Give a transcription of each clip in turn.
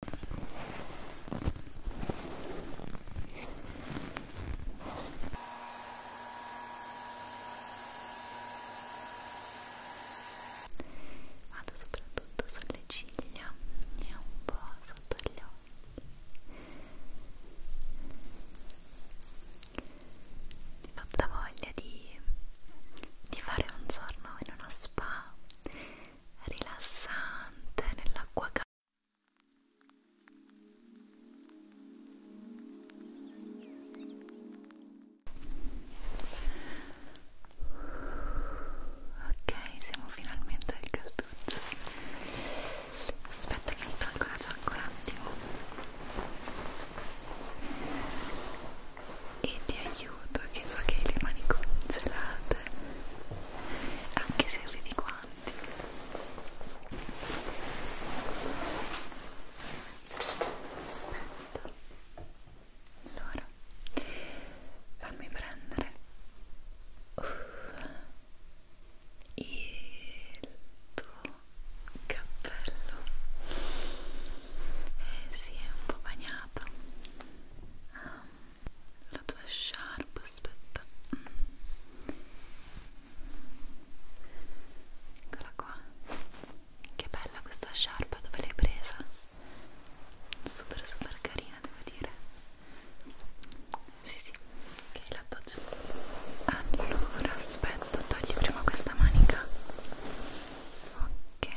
Vado soprattutto sulle ciglia e un po' sotto gli occhi. Mi fa voglia di, di fare un giorno in una spa rilassante nell'acqua calda. Ok, siamo finalmente al calduccio. Aspetta che mi tolgo la giacca un attimo e ti aiuto che so che hai le mani congelate anche se vedi quanti aspetta allora fammi prendere uh, il tuo cappello eh si sì, è un po' bagnato um, la tua sharp aspetta eccola qua che bella questa sharp dove l'hai presa super super carina devo dire sì sì ok la appoggio allora aspetta togli prima questa manica ok ok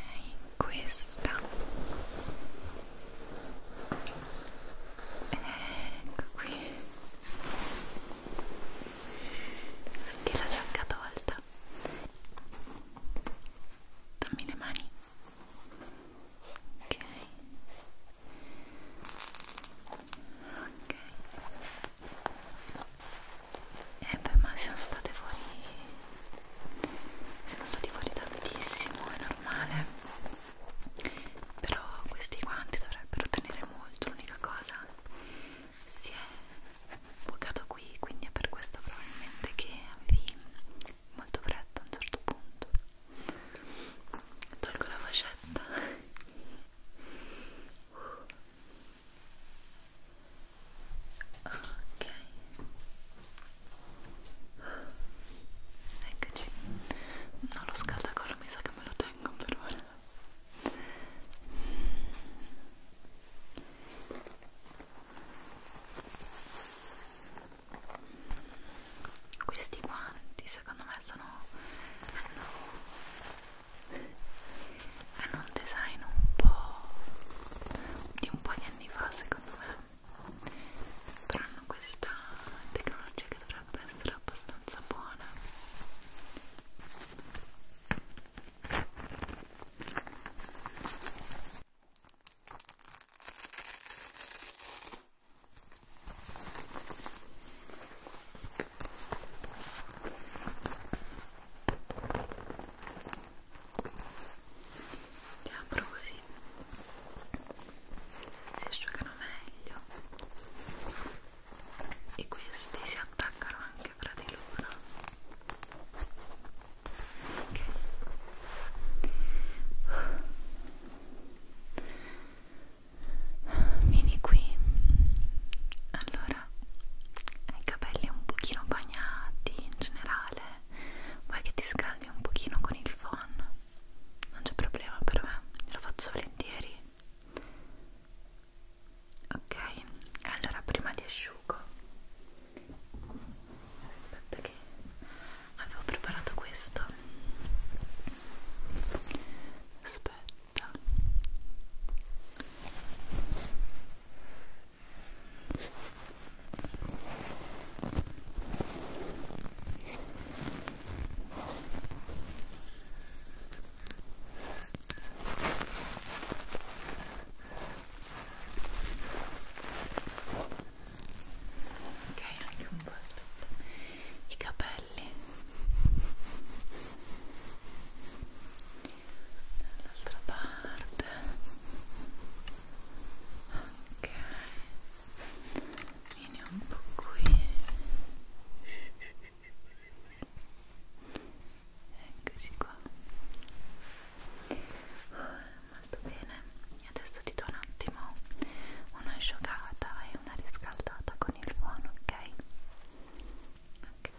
questa ecco qui anche la giacca tolta dammi le mani ok ok eh beh ma siamo state fuori sono stati fuori tantissimo, è normale però questi guanti dovrebbero tenere molto, l'unica cosa si è bucato qui, quindi è per questo probabilmente che avevi molto freddo a un certo punto tolgo la fascetta ok eccoci non lo scaldacollo mi sa che me lo tengo per ora questi guanti secondo me sono hanno, hanno un design un po' di un po' di anni fa secondo me però hanno questa tecnologia che dovrebbe essere abbastanza buona li apro così si asciugano meglio e questi si attaccano anche fra di loro ok Vieni qui. Allora, hai i capelli un pochino bagnati in generale vuoi che ti scaldi un pochino con il phon? Non c'è problema per me, lo faccio volentieri. Ok, allora prima ti asciugo. Aspetta che avevo preparato questo. Aspetta. Ok, anche un po' aspetta. I capelli dall'altra parte ok vieni un po' qui eccoci qua molto bene adesso ti do un attimo un'asciugata e una riscaldata con il buono ok? ok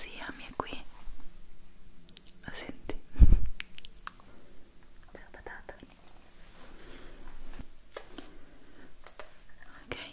Zia mi è qui. La senti? C'è la patata. Ok.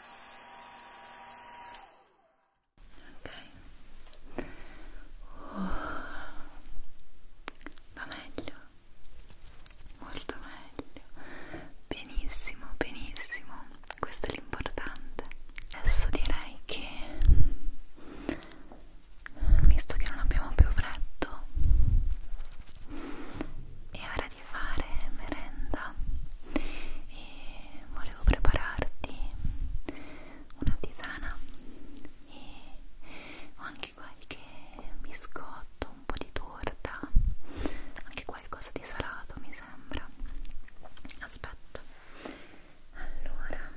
ok oh, va meglio molto meglio benissimo benissimo questo è l'importante adesso direi che visto che non abbiamo più freddo è ora di fare merenda e volevo prepararti una tisana e ho anche qualche biscotto, un po' di torta, anche qualcosa di salato mi sembra. Aspetta. Allora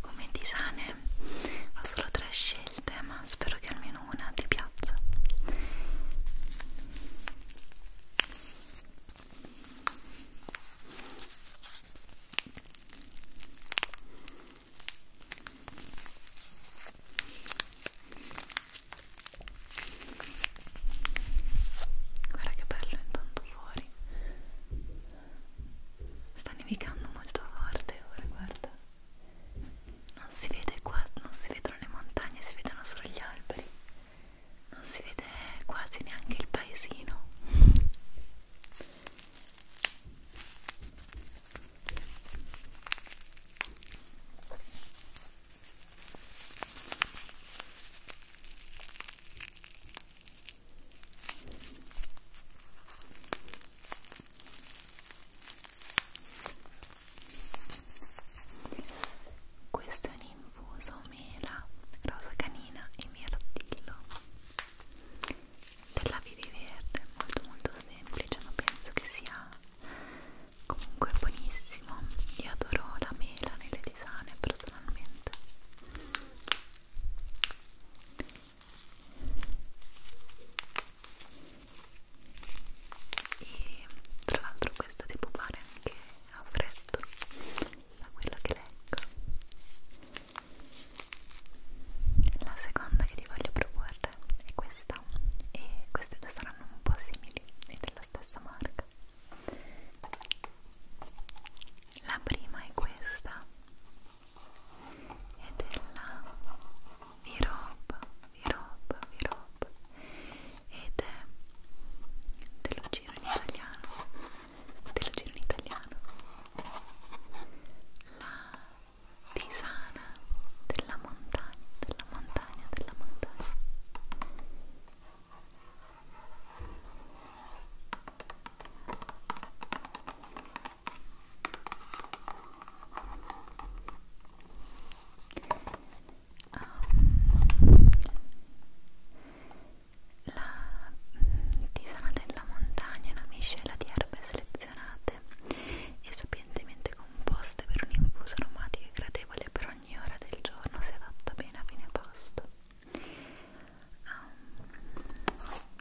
come tisane ho solo tre scelte ma spero che almeno almeno una ti piaccia guarda che bello intanto fuori sta nevicando molto forte ora guarda non si vede qua, non si vedono le montagne, si vedono solo gli alberi, non si vede quasi neanche il paesino questo è un infuso mela, rosa canina e mirtillo della Vivi Verde, molto molto semplice ma penso che sia comunque buonissimo io adoro la mela nelle tisane personalmente e tra l'altro questo si può fare anche a freddo da quello che leggo la seconda che ti voglio proporre è questa e queste due saranno un po' simili e della stessa marca la prima è questa e della Virob, Virob, Virob ed è dello giro in italiano, dello giro in italiano la tisana della montagna, della montagna, della montagna Um, la tisana della montagna è una miscela di erbe selezionate e sapientemente composte per un infuso aromatico e gradevole per ogni ora del giorno si adatta bene a fine pasto. Um,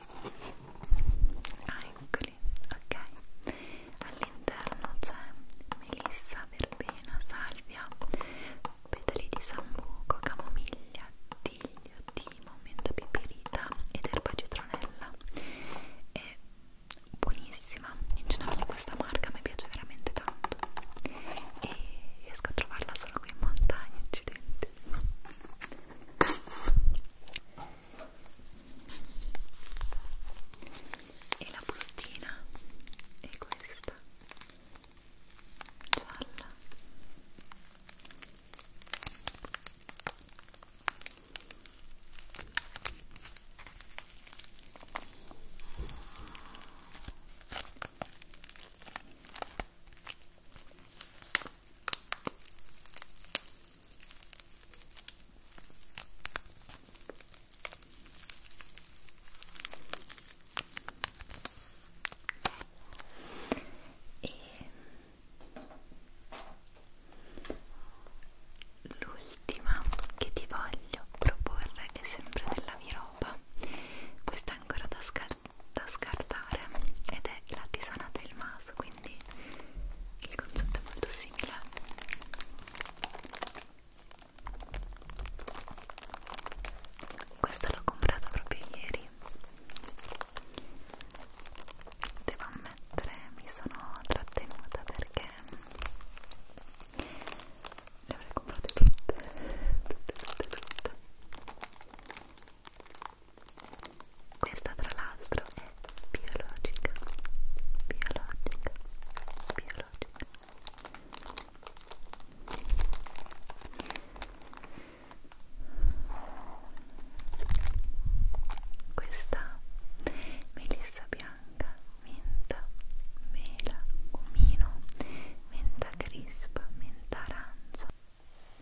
ah eccoli, ok all'interno c'è melissa, verbena, salvia petali di sambuco, camomiglia, tiglio, timo, menta piperita ed erba citronella è buonissima in generale questa marca mi piace veramente tanto e riesco a trovarla solo qui in montagna accidenti e la bustina è questa gialla e l'ultima che ti voglio proporre è sempre della Viropa questa è ancora da, scar da scartare ed è la tisana del maso quindi il concetto è molto simile questa l'ho comprata proprio ieri devo ammettere mi sono trattenuta perché le avrei comprate tutte tutte tutte tutte questa tra l'altro è biologica, biologica, biologica. Questa melissa bianca, menta, mela, cumino, menta crispa, menta arancio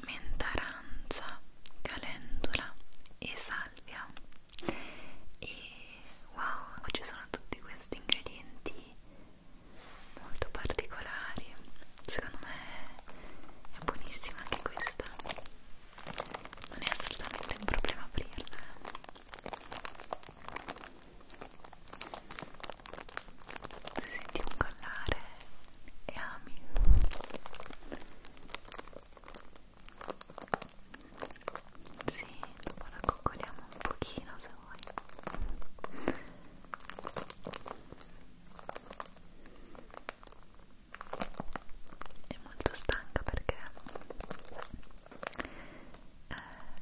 menta arancia, calendula e salvia e wow ci sono tutti questi ingredienti molto particolari secondo me è buonissima anche questa non è assolutamente un problema aprirla eh. se senti un collare e ami sì, dopo la coccoliamo un pochino se vuoi è molto stanca perché eh,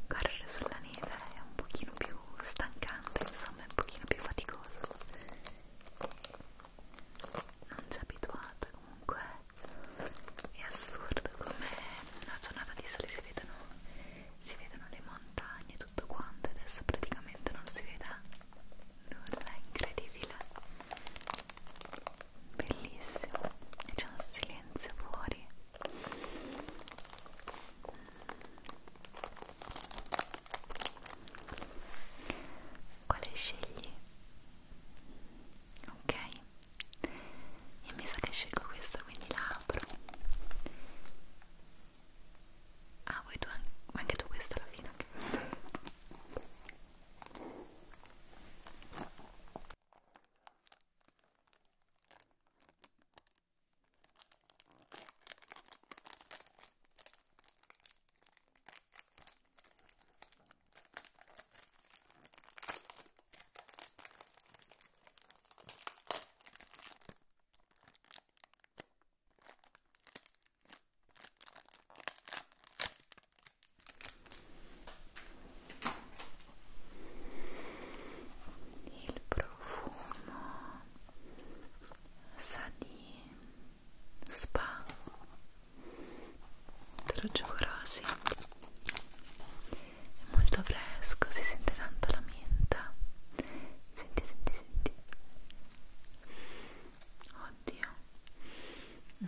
correre sulla neve è un pochino più stancante, insomma è un pochino più faticoso non ci abituata comunque è assurdo come una giornata di sole si vedono, si vedono le montagne e tutto quanto adesso praticamente non si veda nulla, è incredibile bellissimo e c'è un silenzio fuori quale scegli? ok io mi sa che scelgo questa quindi la apro ah vuoi tu anche, anche tu questa alla fine il profumo sa di spa Trogivorosi è molto fresco, si sente tanto la menta senti, senti, senti oddio mm.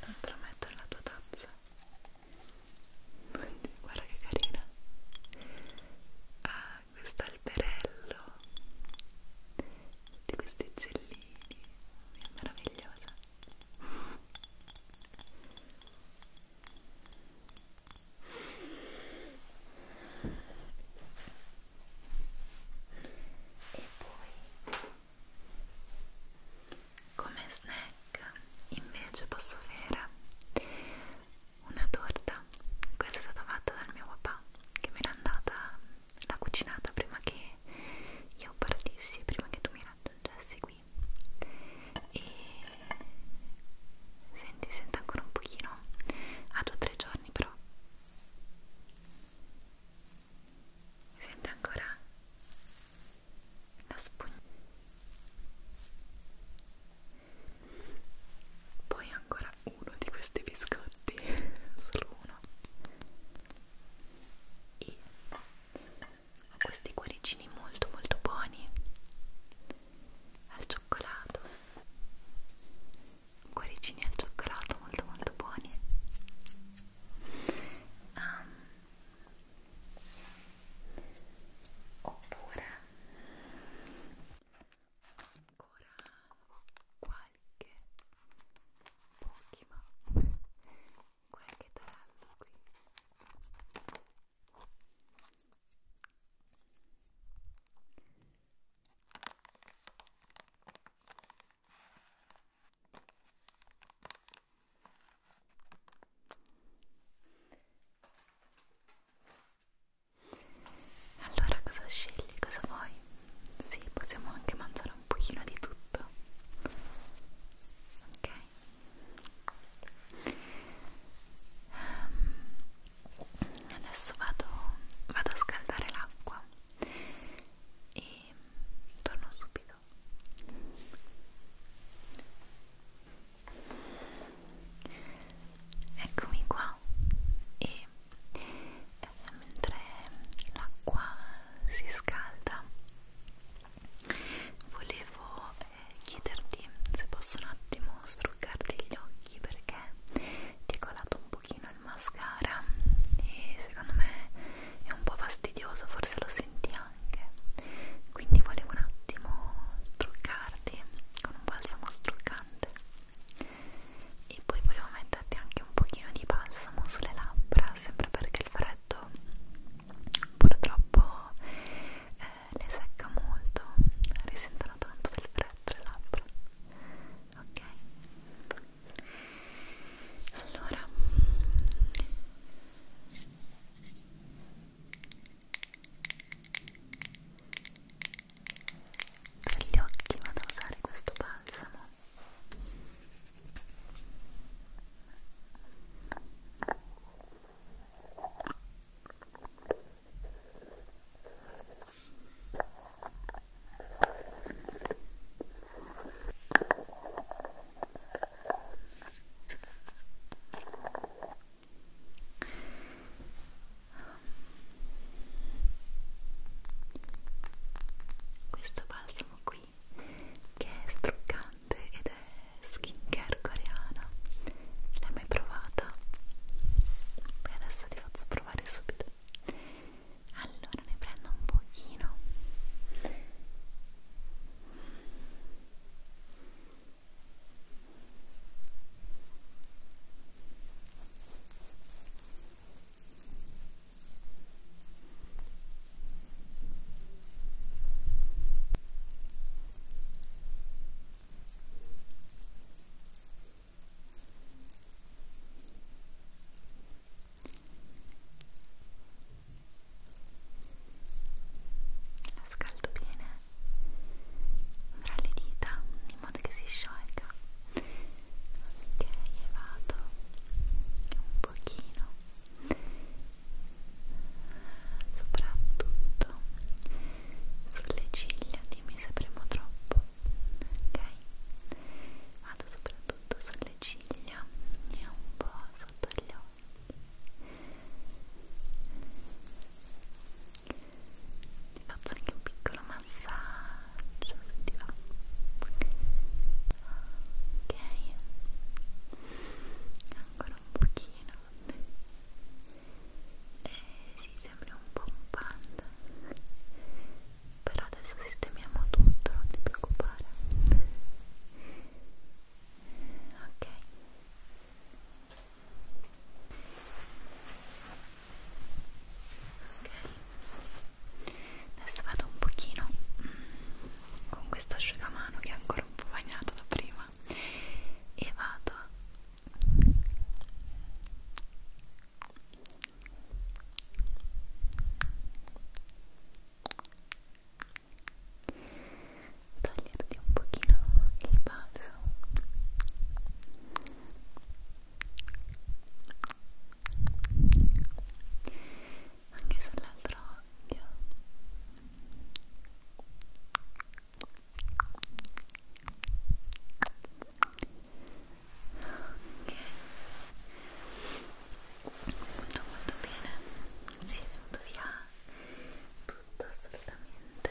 non te lo metto nella tua tazza guarda che carina ah questo alberello tutti questi uccellini è meravigliosa e poi come snack invece posso avere una torta questa è stata fatta dal mio papà che me l'ha andata l'ha cucinata prima che io partissi prima che tu mi raggiungessi qui e senti sento ancora un pochino a due o tre giorni però mi sente ancora la spugna. Poi ancora uno di questi biscotti, solo uno. E ho questi cuoricini molto molto buoni al cioccolato cuoricini al cioccolato molto molto buoni um, oppure ancora qualche pochi ma qualche tarallo qui allora cosa scegli? Cosa vuoi? Sì, possiamo anche mangiare un pochino di tutto. Ok. Um, adesso vado, vado a scaldare l'acqua e torno subito eccomi qua e eh, mentre l'acqua si scalda volevo eh, chiederti se posso un attimo struccarti gli occhi perché ti è colato un pochino il mascara e secondo me è un po' fastidioso, forse lo senti anche quindi volevo un attimo struccarti con un balsamo struccante e poi volevo metterti anche un pochino di balsamo sulle labbra sempre perché il freddo purtroppo eh, le secca molto risentono tanto del freddo le labbra ok? Allora per gli occhi vado a usare questo balsamo questo balsamo qui che è struccante ed è skincare coreana. L'hai mai provata? Beh, adesso ti faccio provare subito giusto allora ne prendo un pochino ok la scaldo bene fra le dita in modo che si sciolga. Ok, e vado un pochino soprattutto sulle ciglia, dimmi se premo troppo ok? Vado soprattutto sulle ciglia e un po' sotto gli occhi. Ti faccio anche un piccolo massaggio se ti va. Ok, ancora un pochino e si sembra un po' un panda però adesso sistemiamo tutto non ti preoccupare ok ok adesso vado un pochino mm, con questo asciugamano che è ancora un po' bagnato da prima e vado Toglierti un pochino il balsamo anche sull'altro occhio molto molto bene si è venuto via tutto assolutamente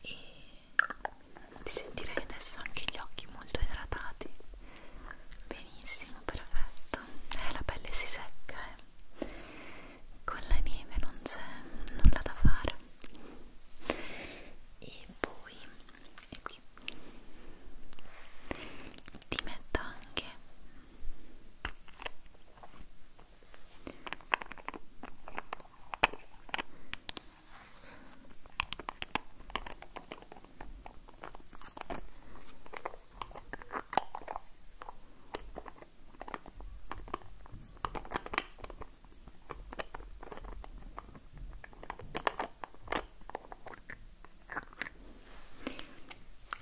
e ti sentirei adesso anche gli occhi molto idratati benissimo perfetto eh, la pelle si secca eh con la neve non c'è nulla da fare e poi e qui ti metto anche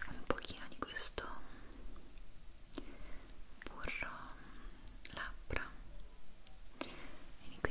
un pochino di questo burro labbra vieni qui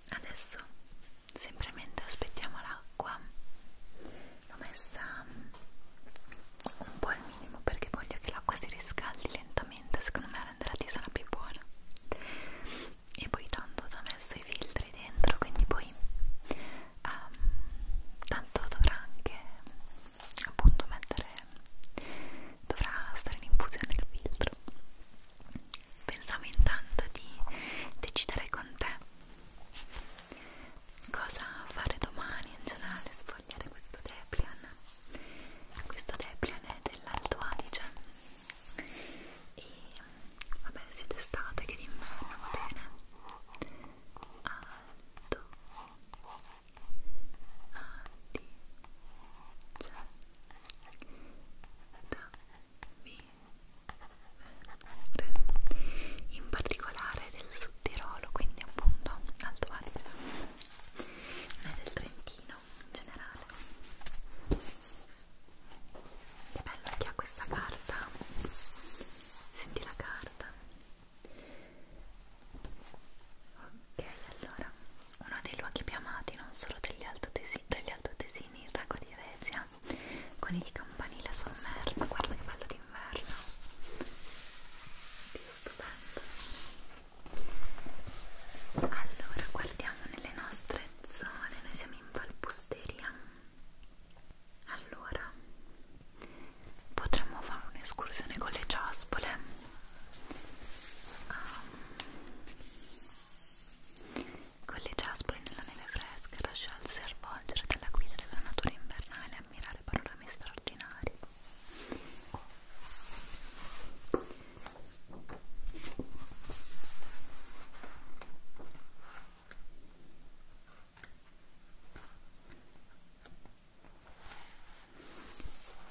adesso semplicemente aspettiamo l'acqua l'ho messa mm, un po' al minimo perché voglio che l'acqua si riscaldi lentamente secondo me renderà la tisana più buona e poi tanto ho già messo i filtri dentro quindi poi um, tanto dovrà anche appunto mettere dovrà stare in infusione il filtro pensavo intanto di decidere con te cosa fare domani in generale, sfogliare questo Deplian questo Deplian è dell'Alto Adige e vabbè sia d'estate che d'inverno va bene Alto Adige da via in particolare del Sud Tirolo, quindi appunto Alto Adige, ma del Trentino in generale. Che bello che ha questa carta, senti la carta. Ok, allora, uno dei luoghi più amati non solo degli altodesini, dagli altodesini, il lago di Resia, con il campanile sommerso guarda che bello d'inverno più stupendo allora guardiamo nelle nostre zone noi siamo in Valpusteria allora potremmo fare un'escursione con le ciaspole um, con le jasperi nella neve fresca lasciarsi avvolgere dalla guida della natura invernale e ammirare panorami straordinari.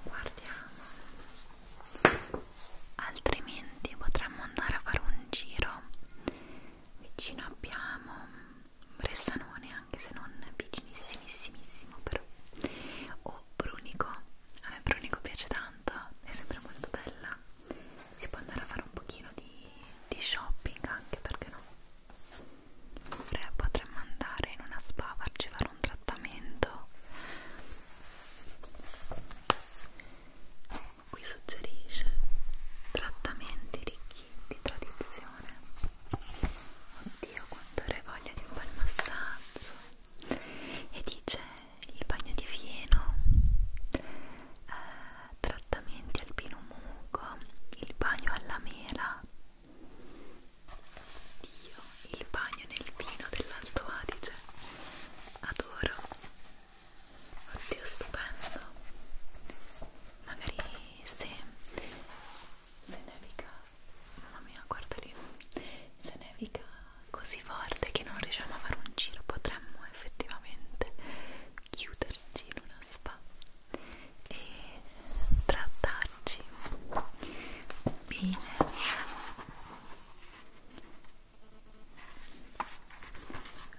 Guardiamo altrimenti potremmo andare a fare un giro vicino abbiamo Bressanone anche se non vicinissimissimissimo però o Brunico a me Brunico piace tanto è sempre molto bella si può andare a fare un pochino di, di shopping anche perché no Pre potremmo andare in una spa a farci fare un trattamento qui suggerisce trattamenti ricchi di tradizione. Oddio, quanto avrei voglia di un bel massaggio! E dice il bagno di fieno, eh, trattamenti al pino muco, il bagno alla mela. Dio, il bagno nel vino dell'Alto Adige, adoro oddio stupendo magari se se nevica mamma mia guarda lì se nevica così forte che non riusciamo a fare un giro potremmo effettivamente chiuderci in una spa e trattarci bene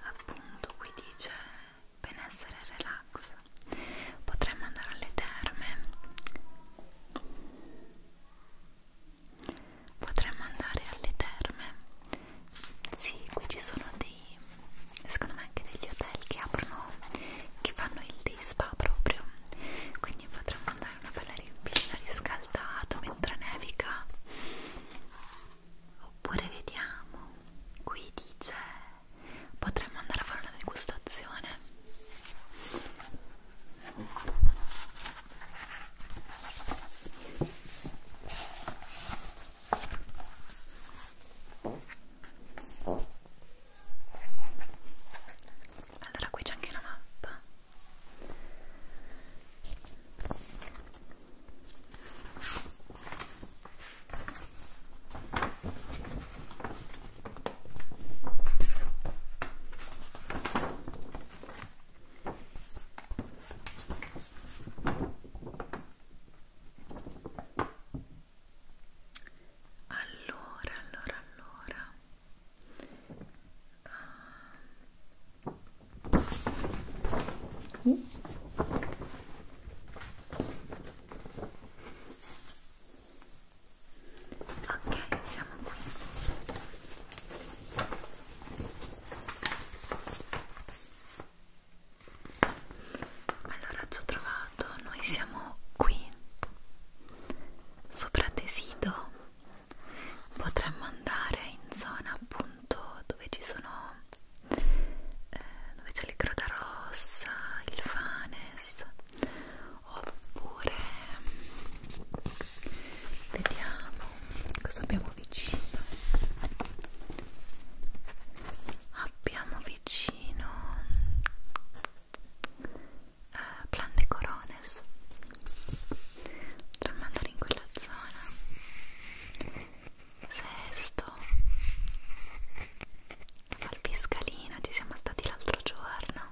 appunto qui dice benessere relax potremmo andare alle terme potremmo andare alle terme sì qui ci sono dei secondo me anche degli hotel che aprono che fanno il day spa proprio quindi potremmo andare dai una bella piscina riscaldata mentre nevica oppure vediamo qui dice potremmo andare a fare una degustazione allora qui c'è anche una mappa allora, allora, allora Uh. Ok, siamo qui. Allora ci ho trovato, noi siamo qui sopra Tesido potremmo andare in zona appunto dove ci sono eh, dove c'è il Croda Rossa, il Fanes oppure vediamo cosa abbiamo vicino abbiamo vicino eh, Plan de Corones Potremmo andare in quella zona. Sesto. Valpiscalina, ci siamo stati l'altro giorno.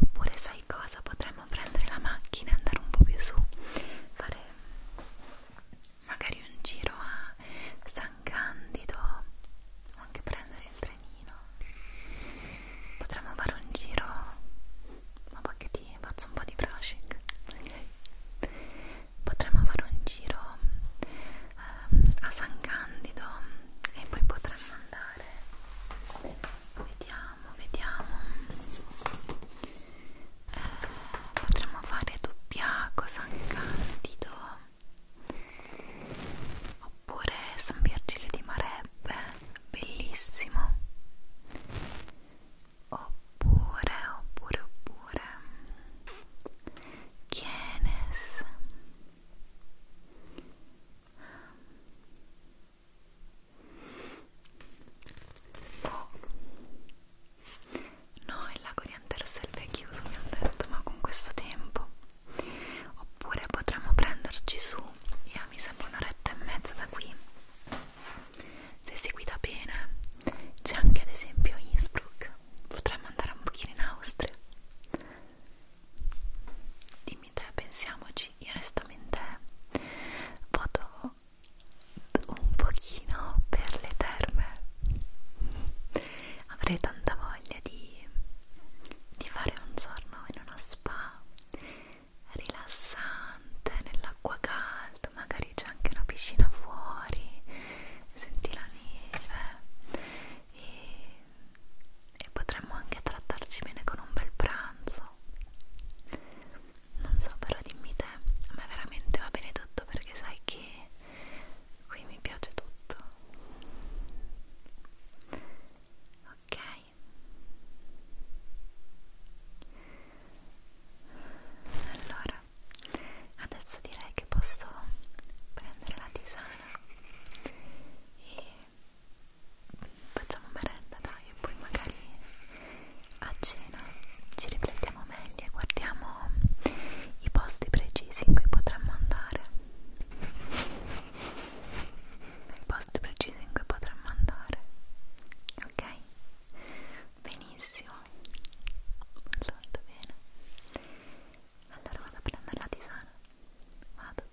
Oppure sai cosa? Potremmo prendere la macchina e andare un po' più su. Fare magari un giro a San Candido o anche prendere prendere il trenino potremmo fare un giro ma perché ti faccio un po' di brushing okay. potremmo fare un giro um, a San Candido e poi potremmo andare vediamo vediamo eh, potremmo fare Dubbiaco San Candido oppure San Virgilio di Marebbe, bellissimo oppure, oppure, oppure Chienes oh. no, il lago di Anterselve è chiuso mi hanno detto, ma con questo tempo oppure potremmo prenderci su io mi sembra un'oretta e mezza da qui se si guida bene c'è anche ad esempio Innsbruck potremmo andare un pochino in Austria dimmi te, pensiamoci io onestamente voto un pochino per le terme avrei tanta voglia di di, di fare un giorno in una spa rilassante, nell'acqua calda, magari c'è anche una piscina fuori, senti la neve e, e potremmo anche trattarci bene con un bel pranzo. Non so, però dimmi te, a me veramente va bene tutto perché sai che qui mi piace tutto ok allora adesso direi che posso prendere la tisana e facciamo merenda dai e poi magari a cena ci riflettiamo meglio e guardiamo i posti precisi in cui potremmo andare il posto preciso in cui potremmo andare ok benissimo molto bene allora vado a prendere la tisana vado